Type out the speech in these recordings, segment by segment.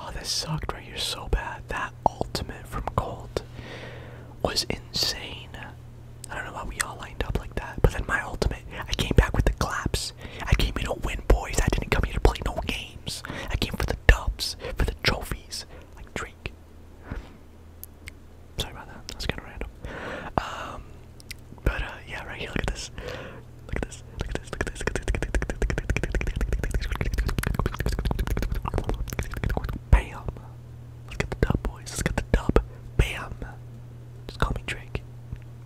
Oh, this sucked right here so bad. That ultimate from Colt was insane. I don't know why we all lined up like that. But then my ultimate, I came back with the claps. I came here to win, boys. I didn't come here to play no games. I came for the dubs, for the trophies, like Drake. Sorry about that. That's kind of random. but yeah, right here. Look at this. Look at this. Look at this. Look at this. Look at this. Look at this. Bam. Let's get the dub, boys. Let's get the dub. Bam. Just call me Drake.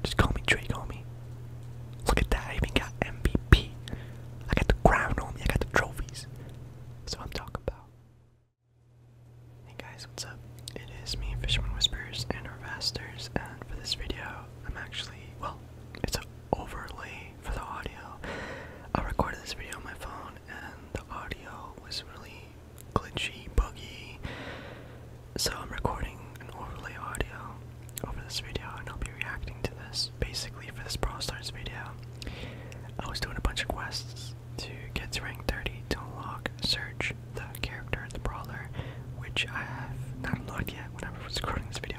Just call me Drake, homie. Look at that, I even got MVP. I got the crown on me, I got the trophies. That's what I'm talking about. Hey guys, what's up? It is me, Fisherman Whispers and Our Harvesters, and for this video, I'm actually, well, it's an overlay for the audio. I recorded this video on my phone, and the audio was really glitchy, buggy, so I'm recording an overlay audio over this video, and I'll be reacting to this. Basically, for this Brawl Stars video, I was doing a bunch of quests to get to rank 30 to unlock Search, the character, the brawler, which I have not unlocked yet Whenever I was recording this video.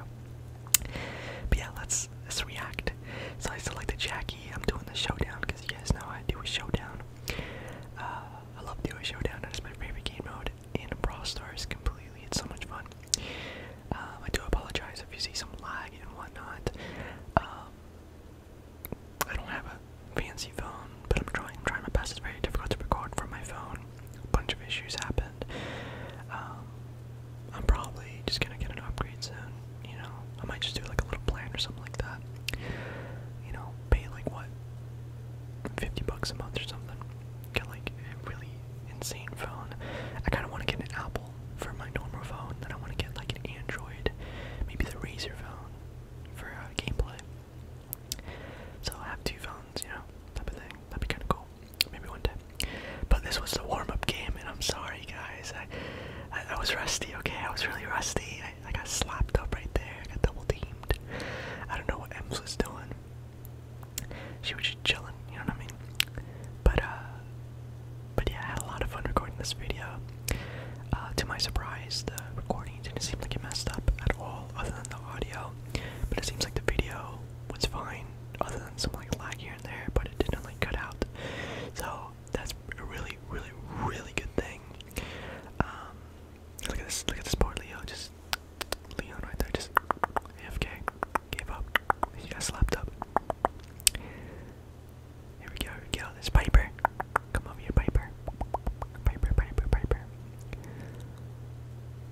But yeah, let's, let's react. So I select the Jackie. I'm doing the showdown because you guys know I do a showdown. Uh, I love doing a showdown. That is my favorite game mode in Brawl Stars completely. It's so much fun. Um, I do apologize if you see some lag and whatnot. Um, I don't have a fancy phone, but I'm trying, I'm trying my best. It's very difficult to record from my phone. A bunch of issues happened. Um, I'm probably just gonna get an upgrade soon. You know, I might just do like a little plan or something like that. You know, pay like what, fifty bucks a month or something. Get like really insane phone. I kind of want to get an Apple for my normal phone, then I want to get like an Android, maybe the Razer phone for uh, gameplay. So i have two phones, you know, type of thing. That'd be kind of cool. Maybe one day. But this was the warm-up game, and I'm sorry, guys. I, I, was rusty. Okay, I was really rusty. I, I got slapped up right there. I got double teamed. I don't know what Ems was doing she was just chilling, you know what I mean? But uh but yeah, I had a lot of fun recording this video. Uh, to my surprise, the recording didn't seem like it messed up at all, other than the audio. But it seems like the video was fine, other than some like lag here and there. But it didn't like cut out, so that's a really, really, really good thing. Um, look at this! Look at this poor Leo, just Leon right there just AFK. Gave up. He got slapped up. Here we go. Get on this Piper. Come over here, Piper. Piper, Piper, Piper.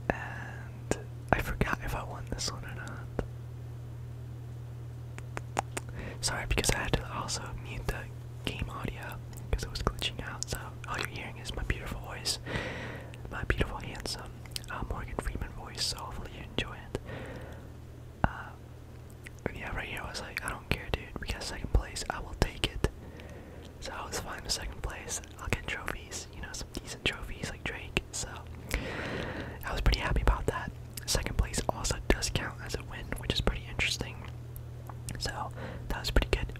And I forgot if I won this one or not. Sorry, because I had to also mute the game audio because it was glitching out. So all you're hearing is my beautiful voice my beautiful, handsome uh, Morgan Freeman voice, so hopefully you enjoy it. Uh, yeah, right here I was like, I don't care, dude. We got second place. I will take it. So I was fine with second place. I'll get trophies, you know, some decent trophies like Drake. So I was pretty happy about that. Second place also does count as a win, which is pretty interesting. So that was pretty good.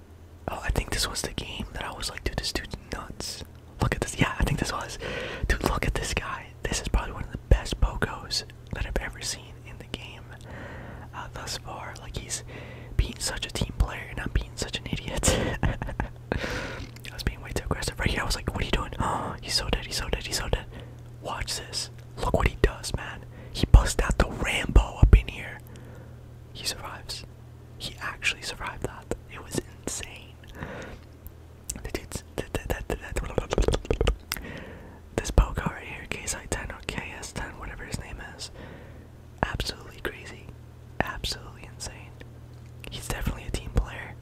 Oh, I think this was the game that I was like, dude, this dude's nuts. Look at this. Yeah, I think this was. Dude, look at this guy. This is probably one of the best pocos that I've ever seen in the game uh, thus far. Like, he's being such a team player, and I'm being such an idiot. I was being way too aggressive. Right here, I was like, what are you doing? Oh, he's so dead. He's so dead. He's so dead. Watch this. Look what he does, man. He busts out the Rambo up in here. He survives he actually survived that. It was insane. The dude's this Boca right here, KSI-10 or KS-10, whatever his name is, absolutely crazy, absolutely insane. He's definitely a team player.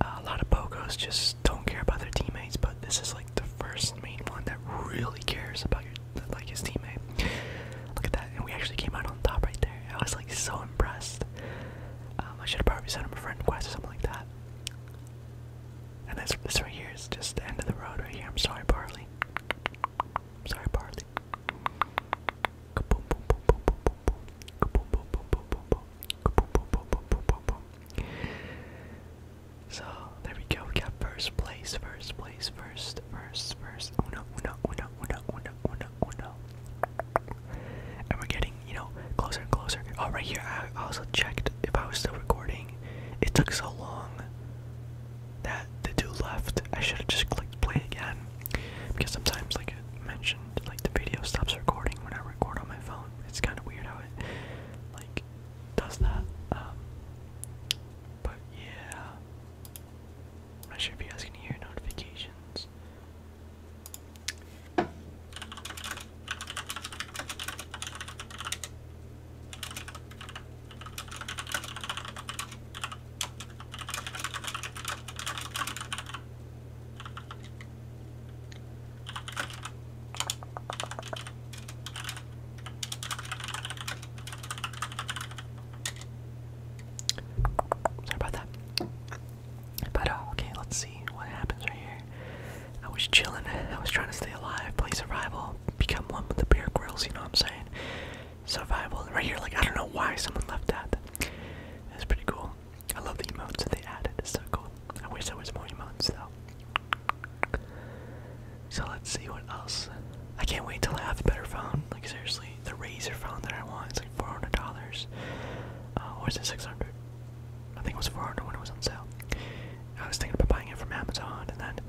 Uh, a lot of Pokos just don't care about their teammates, but this is like the first main one that really cares about your like his teammate. Look at that, and we actually came out on top right there. I was like so impressed. I should have probably sent him a friend request or something like that. And this this right here is just the end of the road right here. I'm sorry, Barley. I'm sorry, Barley. So there we go. We got first place, first place place first, first, first. Uno, uno, uno, uno, uno, uno, uno. And we're getting, you know, closer and closer. Oh, right here, I also checked if I was still recording. It took so long that the dude left. I should have just clicked play again. Because sometimes, like I mentioned, like the video stops recording when I record on my phone. It's kind of weird how it, like, does that. Um, but yeah. I'm not sure if you guys can hear notifications. Sorry about that. But uh, okay, let's see what happens right here. I was chilling. I was trying to stay alive, play survival, become one with the bear grills. You know what I'm saying? Survival right here. Like I don't know why someone left that. That's pretty cool. I love the emotes that they added. It's so cool. I wish there was more emotes though. So let's see what else. I can't wait till I have a better phone. Like seriously, the razor phone that I want. It's like four hundred dollars. Uh, was is it six hundred? I think it was four hundred when it was on sale. I was thinking about buying it from Amazon, and then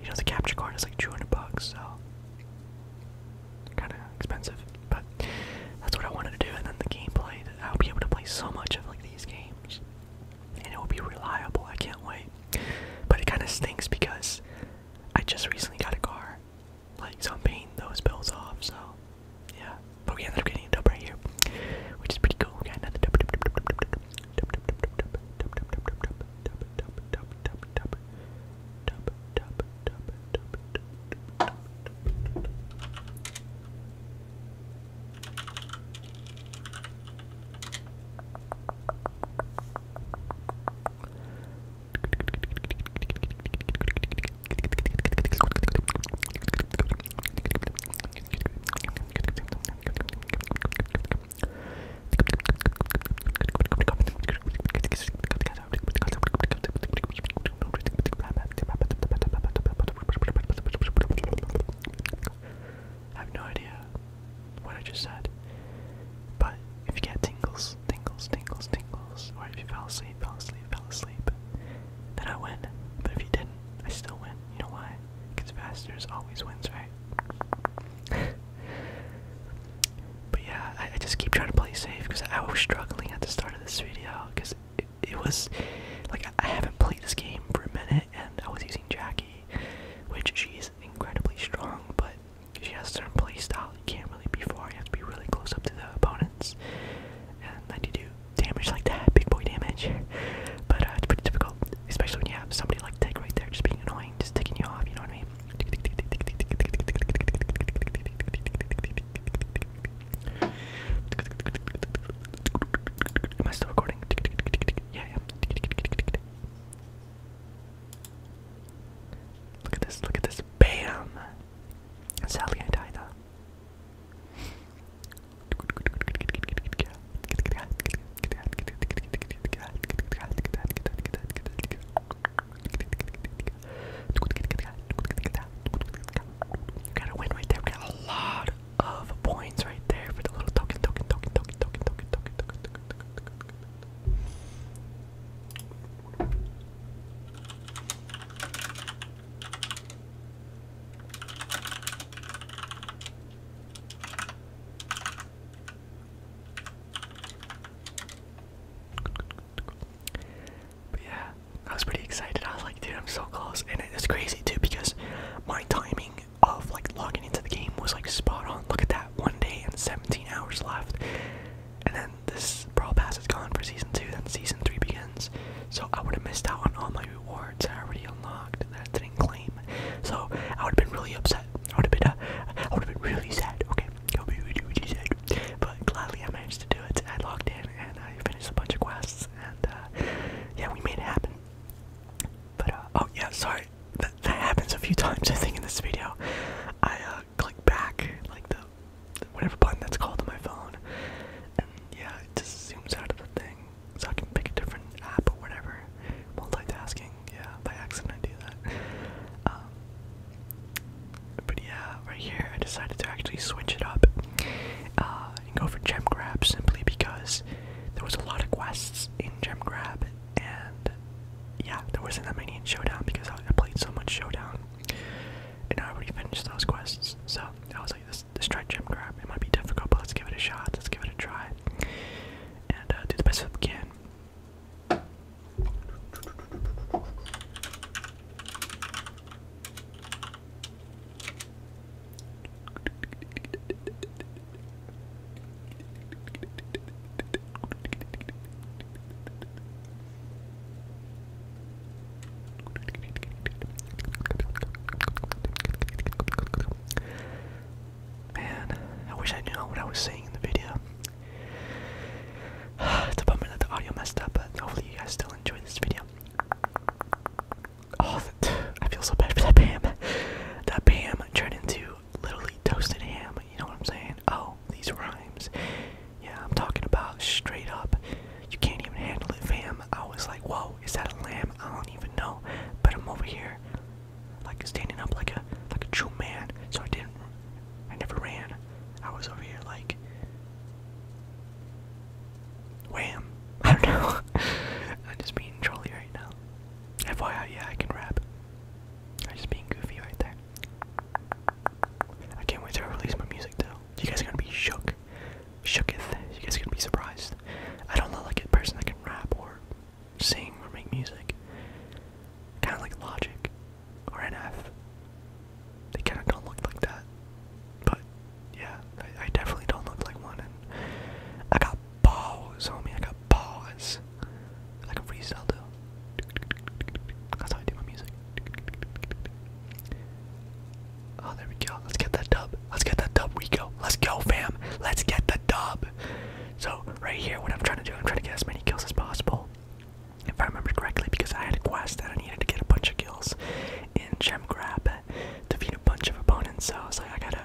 you know the capture card is like two hundred bucks, so kind of expensive. But that's what I wanted to do, and then the gameplay. I'll be able to play so much of like these games, and it will be reliable. I can't wait. But it kind of stinks because I just recently got a car. Like, so I'm paying those bills off, so yeah. But we ended up getting a dub right here, which is pretty cool. I have no idea what I just said. But if you get tingles, tingles, tingles, tingles, or if you fell asleep, fell asleep, fell asleep, then I win. But if you didn't, I still win. You know why? Because Masters always wins, right? but yeah, I, just keep trying to play safe because I was struggling at the start of this video because it, was like I, haven't played this game for a minute and I was using Jackie, which she's incredibly strong, but she has a certain play style you can't really be far. You have to be really close up to the opponents, and then you do damage like that, big boy damage. But uh, it's pretty difficult, especially when you have somebody like Tech right there, just being annoying, just taking you off. You know what I mean? Am still recording? Yeah, yeah. Look at this, look at this. Bam! And Sally and Ida. You gotta win right there. We got a lot of points right there for the little token, token, token, token, token, token, token, token, token, token, token, token, token, but yeah, I was pretty excited. I was like, dude, I'm so close. And it's crazy too because my timing of like logging into the game was like spot on. Look at that one day and 17 hours left. And then this Brawl Pass is gone for season two, then season three begins. So I would have missed out on all my rewards I already unlocked that didn't claim. So I would have been really upset. I would have been, uh, I would have been really sad. Okay, go be what you But gladly I managed to do it. I logged in and I finished a bunch of quests, and uh, yeah, we made it happen. But uh, oh yeah, sorry, that, happens a few times I think in this video. I uh, click back like the whatever button that's called on my phone, and yeah, it just zooms out of the thing, so I can pick a different app or whatever. Multitasking, yeah, by accident I do that. Um, but yeah, right here I decided to actually switch it up uh, and go for gem grab simply because there was a lot of quests in gem grab and yeah, there wasn't that many in Showdown because I, played so much Showdown, and I already finished those quests. So I was like, this this try gem grab. It might be difficult, but let's give it a shot. Let's give it a try, and uh, do the best we can. Man, I wish I knew what I was saying in the video. it's a bummer that the audio messed up, but hopefully you guys still enjoyed this video. Oh, I feel so bad for that Pam. That Pam turned into literally toasted ham, you know what I'm saying? Oh, these rhymes. Yeah, I'm talking about straight up. You can't even handle it, fam. I was like, whoa, is that a lamb? I don't even know. But I'm over here, like standing up like a like a true man. So I didn't I never ran. I was over here like Wham. I don't know. I'm just being trolly right now. FYI, yeah, I can rap. I'm just being goofy right there. I can't wait to release my music though. You guys are gonna be shook. Shooketh. You guys are gonna be surprised. I don't look like a person that can rap or sing or make music. Kinda like Logic or NF. They kinda don't look like that. But yeah, I definitely don't look like one and I got balls, homie. I got balls. Like a freestyle though. That's how I do my music. Oh, there we go. Let's get that dub. Let's get that dub, Rico. Let's go, fam. Let's get the dub. So, right here, what I'm trying to do, I'm trying to get as many kills as possible. If I remember correctly, because I had a quest that I needed to get a bunch of kills in Gem Grab to beat a bunch of opponents, so I was like, I gotta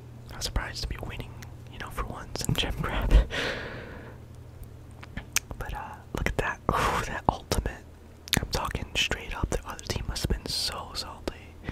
I was surprised to be winning, you know, for once in gem grab. but uh, look at that. Ooh, that ultimate. I'm talking straight up. The other team must have been so salty.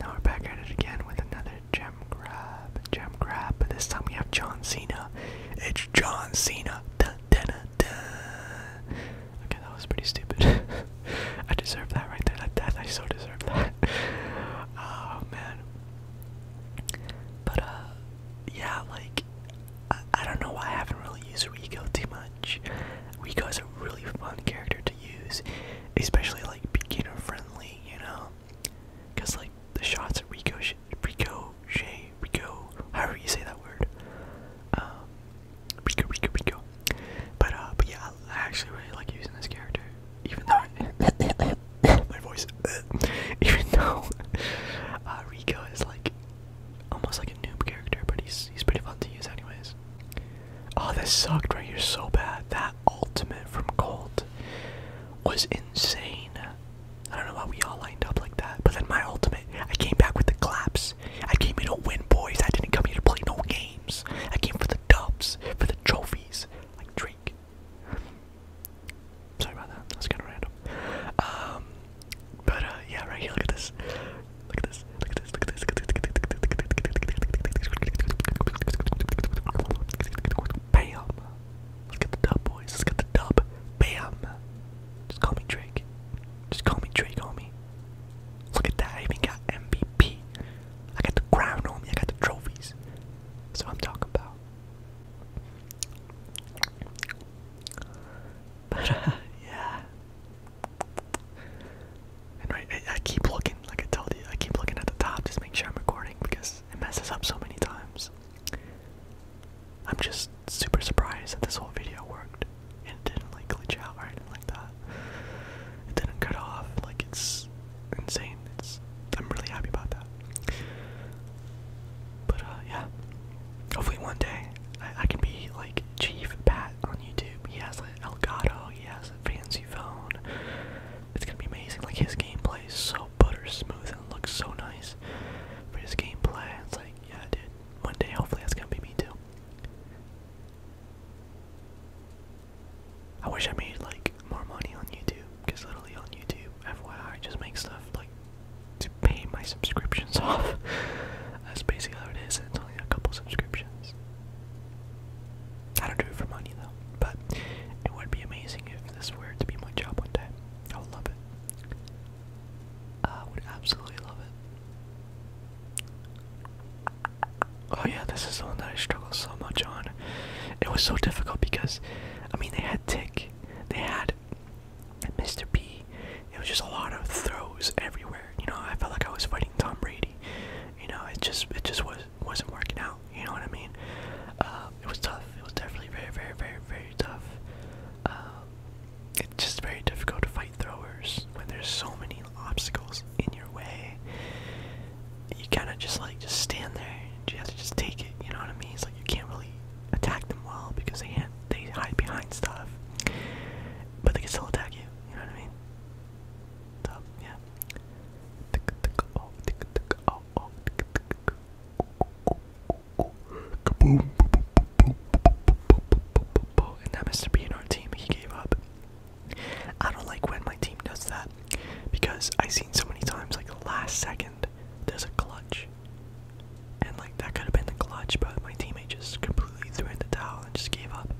Now we're back at it again with another gem grab. Gem grab, but this time we have John Cena. It's John Cena. Okay, that was pretty stupid. I deserve that right there. That, that I so deserve that. oh man. But uh, yeah, like I, I don't know why I haven't really used Rico too much. Rico a really fun character to use, especially like beginner friendly you know? Cause like the shots at Rico, Rico, Shay, Rico, however you say that word, um, Rico, Rico, Rico. But uh, but yeah, I actually really like using this character, even though my voice, even though uh, Rico is like almost like a noob character, but he's he's pretty fun to use anyways. Oh, this sucked right here so bad. That ultimate from Colt was insane. I don't know why we all lined up like that. But then my ultimate, I came back with the claps. I came here to win, boys. I didn't come here to play no games. I came for the dubs, for the trophies, like Drake. Sorry about that. That's kind of random. Um, but uh, yeah, right here. Look at this. Look at this. Look at this this, look Bam! let the dub, boys. let the dub. Bam! Just call me Drake. Just call me Drake, homie. Look at that. I even got MVP. I got the crown, me. I got the trophies. That's what I'm talking about. But uh, yeah. And right, I, keep looking, like I told you, I keep looking at the top, just make sure I'm recording because it messes up so many times. I'm just super surprised that this whole video worked and it didn't like glitch out or anything like that. It didn't cut off, like it's insane. It's I'm really happy about that. But uh yeah. Hopefully one day I, can be like Chief Pat on YouTube. He has an Elgato, he has a fancy phone. It's gonna be amazing. Like his gameplay is so butter smooth and looks so nice for his gameplay. It's like, yeah, dude. One day, hopefully, that's gonna be me too. I wish I made like more money on YouTube, because literally on YouTube, FYI, I just make stuff like to pay my subscriptions off. That's basically how it is. It's only a couple subscriptions. I don't do it for money though, but it would be amazing if this were to be my job one day. I would love it. I would absolutely love it. Oh yeah, this is the one that I struggled so much on. It was so difficult because, I mean, they had Tick, they had Mr. B. It was just a lot of throws everywhere. You know, I felt like I was fighting Tom Brady you know, it just it just was wasn't working out. You know what I mean? Uh, it was tough. It was definitely very, very, very, very tough. Uh, it's just very difficult to fight throwers when there's so many obstacles in your way. You kind of just like just stand there. And you have to just take it. You know what I mean? It's like you can't really attack them well because they can't, they hide behind stuff, but they can still attack you. You know what I mean? So yeah, and that Mr. Bean, our team, he gave up. I don't like when my team does that because I've seen so many times, like the last second, there's a clutch. And like that could have been the clutch, but my teammate just completely threw in the towel and just gave up.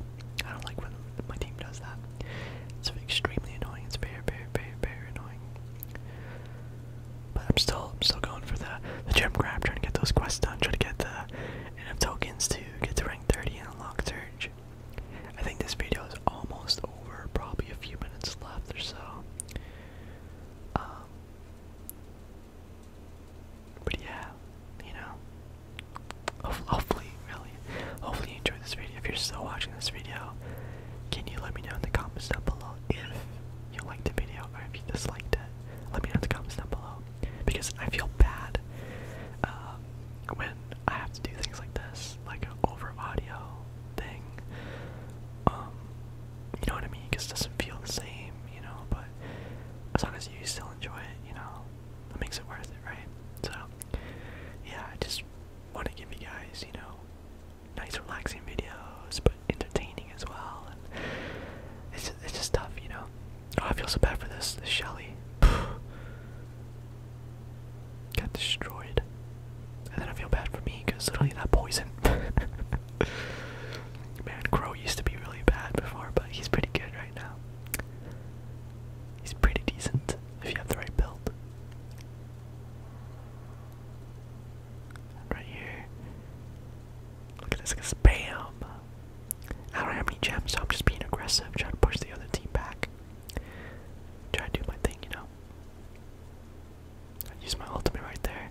I don't like when my team does that. It's extremely annoying. It's very, very, very, very annoying. But I'm still, I'm still going for the the gem grab, trying to get those quests done, trying to get the enough tokens to get to rank 30 and unlock Surge. I think this video is almost over. Probably a few minutes left or so. Um, but yeah, you know, Hopefully, really, hopefully you enjoyed this video. If you're still watching this video, can you let me know in the comments down below if you liked the video or if you disliked it? Let me know in the comments down below because I feel bad um, when I have to do things like this, like an over audio thing. Um, you know what I mean? Because it doesn't feel the same, you know. But as long as you still enjoy it, you know, that makes it worth it, right? So, yeah, I just want to give you guys, you know, nice, relaxing videos, but entertaining as well. it's just, it's just tough, you know. Oh, I feel so bad for this, this Shelly. Got destroyed, and then I feel bad for me because literally that poison. Man, Crow used to be really bad before, but he's pretty good right He's pretty decent if you have the right build. Right here. Look at this, spam! I don't have any gems, so I'm just being aggressive, trying to push the other team back. Try to do my thing, you know? I use my ultimate right there.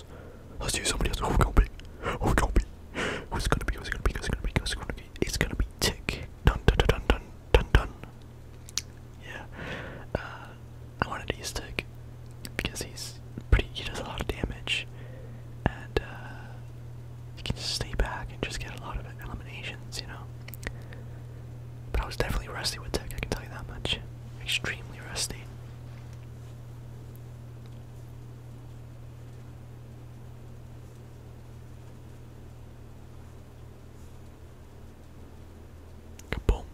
else. Let's do somebody else. Who's gonna be? Who's gonna be? Who's gonna be? Who's gonna be? Who's gonna be? Who's gonna be? It's gonna be Tick. Dun dun dun dun dun dun. Yeah. Uh, I wanted to use Tick because he's pretty. He does a lot of damage, and uh, you can just stay back and just get a lot of eliminations. You know. But I was definitely rusty with Tick. I can tell you that much. Extremely rusty. Kaboom.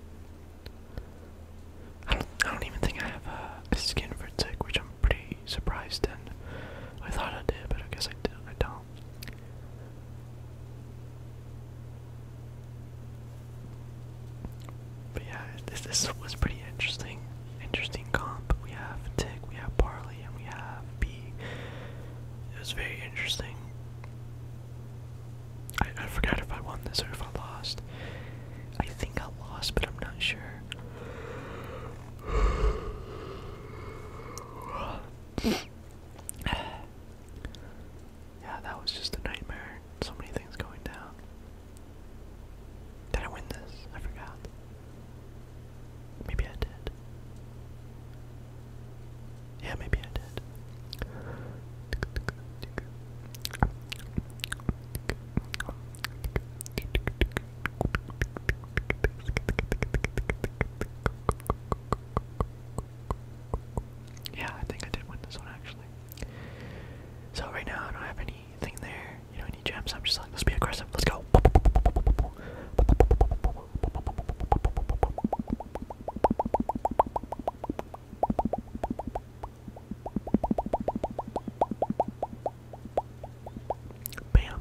I don't I don't even think I have uh, a, skin for tick, which I'm pretty surprised and I thought I did, but I guess I did I don't. But yeah, this this was pretty interesting. Interesting comp. We have Tick, we have Barley, and we have B. It was very interesting. I, I forgot if I won this or if I lost. I think I lost, but I'm not sure. yeah, that was just a nightmare. So many things going down. Did I win this? I forgot. Maybe I did. Yeah, maybe I did. Yeah, I think I did win this one actually. So right now I don't have anything there, you know, any gems. I'm just like, let's be aggressive, let's go. Bam!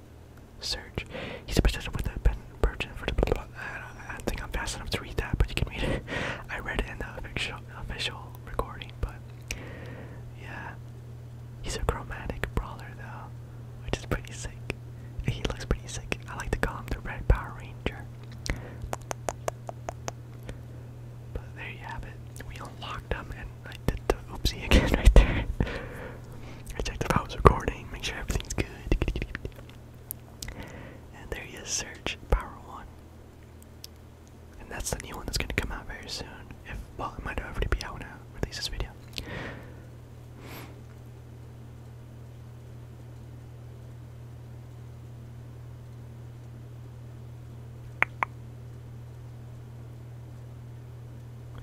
Search. He's a person with a pen burden for the blah blah. I don't, I don't think I'm fast enough to read that, but you can read it. I read it in the official, official recording, but yeah. He's a chromatic brawler though, which is pretty sick. He looks pretty sick. I like to call him the Red Power Ranger. But there you have it. We unlocked him and I did the oopsie again right there. I checked if I was recording, make sure everything's good. And there you search Power 1. And that's the new one that's going to come out very soon. If Well, it might already be out when I release this video.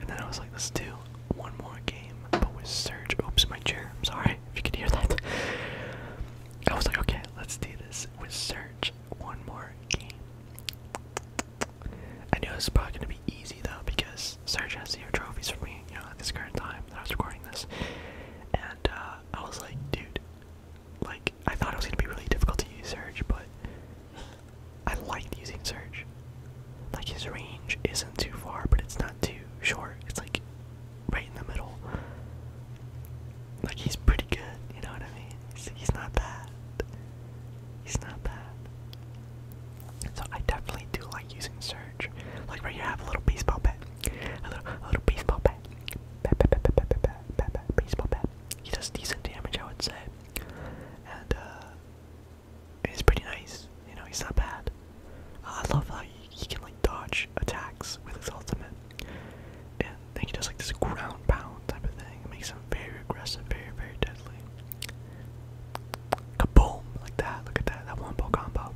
And then I was like, let's do one more game, but with Surge. Oops, my chair. I'm sorry if you can hear that. I was like, okay, let's do this with Surge. One more game. I knew this was probably gonna be easy though because Surge has zero trophies for me, you know, at this current time that I was recording this. And uh, I was like, dude, like I thought it was gonna be really difficult to use Surge, but I liked using Surge. Like his range isn't too far, but it's not too short. It's like right in the middle. Like he's pretty good, you know what I mean? He's, he's not bad. He's not bad. So I definitely do like using Surge. Like right here, I have a little baseball bat. A little, a little baseball bat. Bat, bat, bat, bat, bat, bat, bat, bat, baseball bat. He does decent damage, I would say. And, uh, it's pretty nice. You know, he's not bad. Uh, I love how he, he can like dodge attacks with his ultimate, and then he does like this ground pound type of thing. It makes him very aggressive, very very deadly. Kaboom! Like that. Look at that. That wombo combo.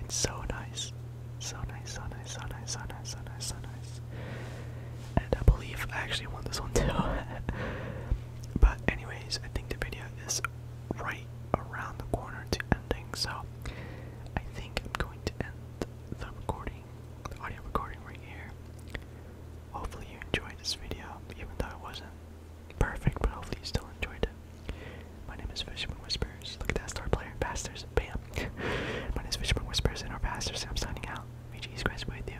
It's so nice. So nice. So nice. So nice. So nice. So nice. So nice. And I believe I actually won this one too. But anyways, I think the video is right around the corner to ending, so I think I'm going to end the recording, audio recording right here. Hopefully you enjoyed this video, even though it wasn't perfect, but hopefully you still enjoyed it. My name is Fisherman Whispers. Look at that star player, pastors, bam. My name is Fisherman Whispers and our pastors, and I'm signing out. May Jesus Christ be with you.